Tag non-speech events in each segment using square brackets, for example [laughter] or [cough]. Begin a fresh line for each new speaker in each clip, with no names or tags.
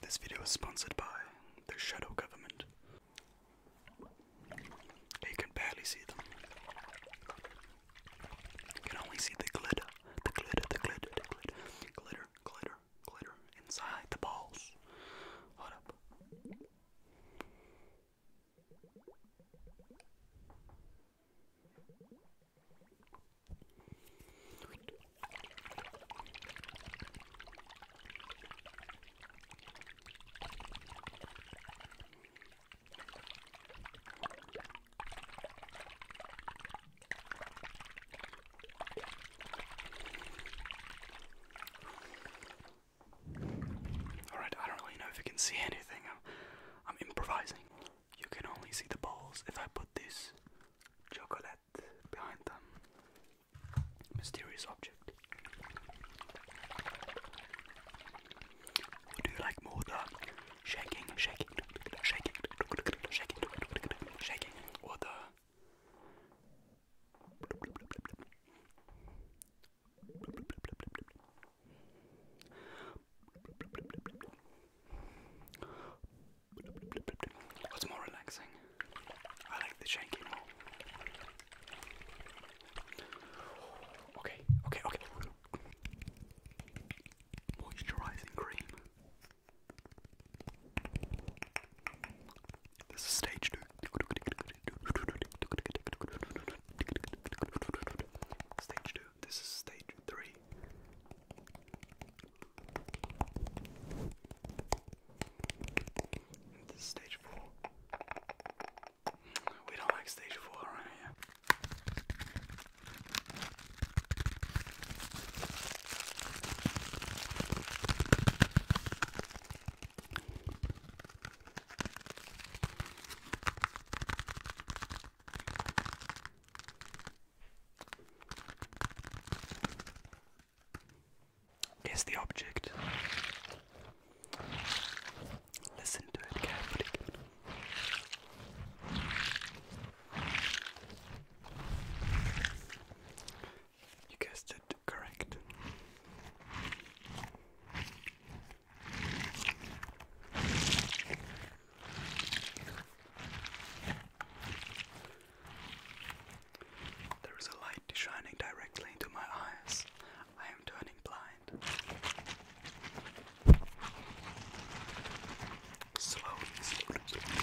This video is sponsored by the Shadow Government. You can barely see them. You can only see the glitter, the glitter, the glitter, glitter, glitter, glitter, glitter inside the balls. Hold up. Alright, I don't really know if you can see anything. I'm I'm improvising. You can only see the balls if I put this chocolate behind them. Mysterious object. Would you like more the shaking, shaking, shaking, shaking, shaking, or What's more relaxing? I like the shaking more. Okay, okay, okay. Moisturizing cream. This is stage two. Stage two. This is stage three. And this is stage four. We don't like stage four around here. Is the object. Listen to it carefully. You guessed it correct. There is a light shining directly into my eyes. I am turning blind. Slowly, slowly.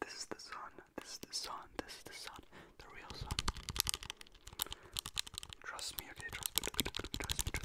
This is the sun, this is the sun, this is the sun, the real sun. Trust me, okay, trust me, trust me, trust me.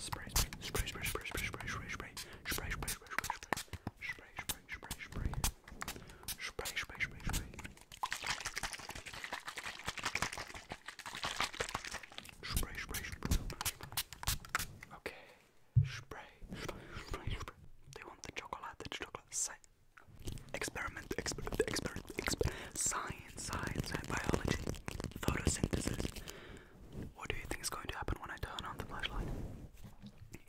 Spray, spray, spray, spray, spray, spray, spray, spray, spray, spray, spray, spray, spray, spray, spray, spray, spray, spray, spray. Spray, spray, spray. Okay. Spray, spray, spray, spray. Do you want the chocolate? The chocolate. Say. Experiment, experiment, experiment, experiment. Science, science, and biology photosynthesis. What do you think is going to happen when I turn on the flashlight?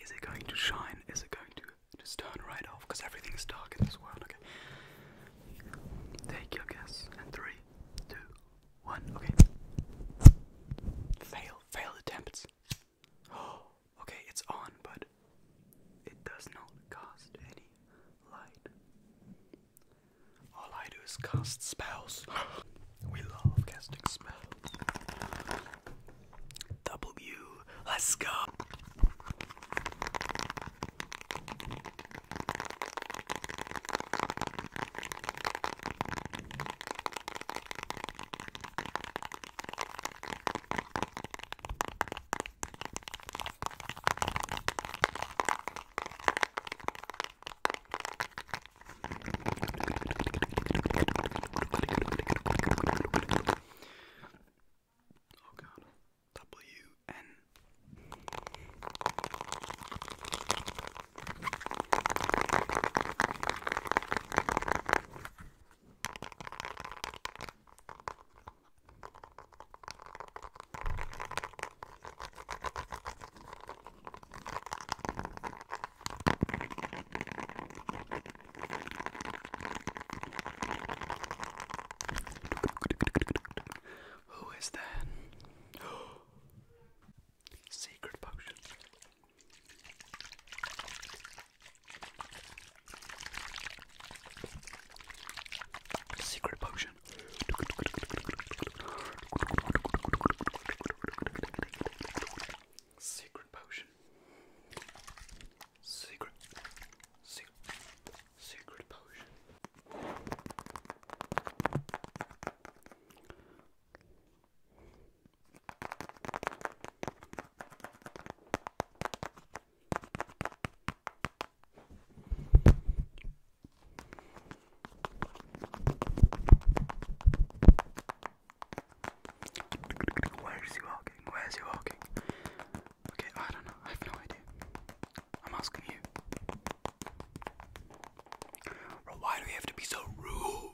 Is it going to shine? Is it going to just turn right off? Because everything is dark in this world, okay? Take your guess. And three, two, one, okay. Fail, fail attempts. [gasps] okay, it's on, but it does not cast any light. All I do is cast spells. [gasps] we love casting spells. W, let's go. Oh god. W N who is that? [gasps] Secret potion. Secret potion. Secret potion. Secret. Secret. Secret potion. Where is he walking? Where is he walking? Okay, I don't know. I have no idea. I'm asking you. Bro, why do we have to be so rude?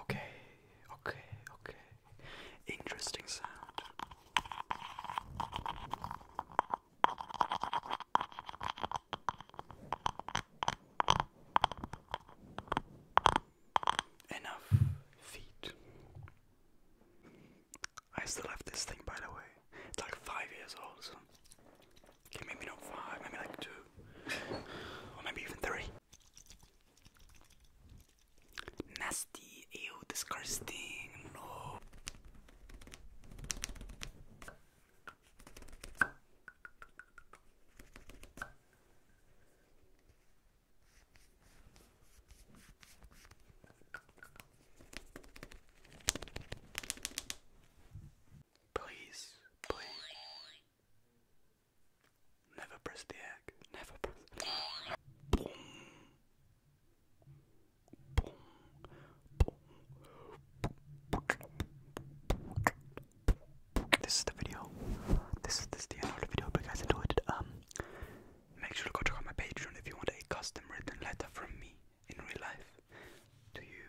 Okay, okay, okay. Interesting sound. Enough feet. I still have this thing, by the way. It's like five years old, Okay, maybe not five, maybe like two. Or maybe even three. Nasty, ew, disgusting, no. Please, please. Never press the egg. Never press This is the video. This is, this the end of the video. Hope guys enjoyed it. Um, make sure to go check out my Patreon if you want a custom written letter from me in real life to you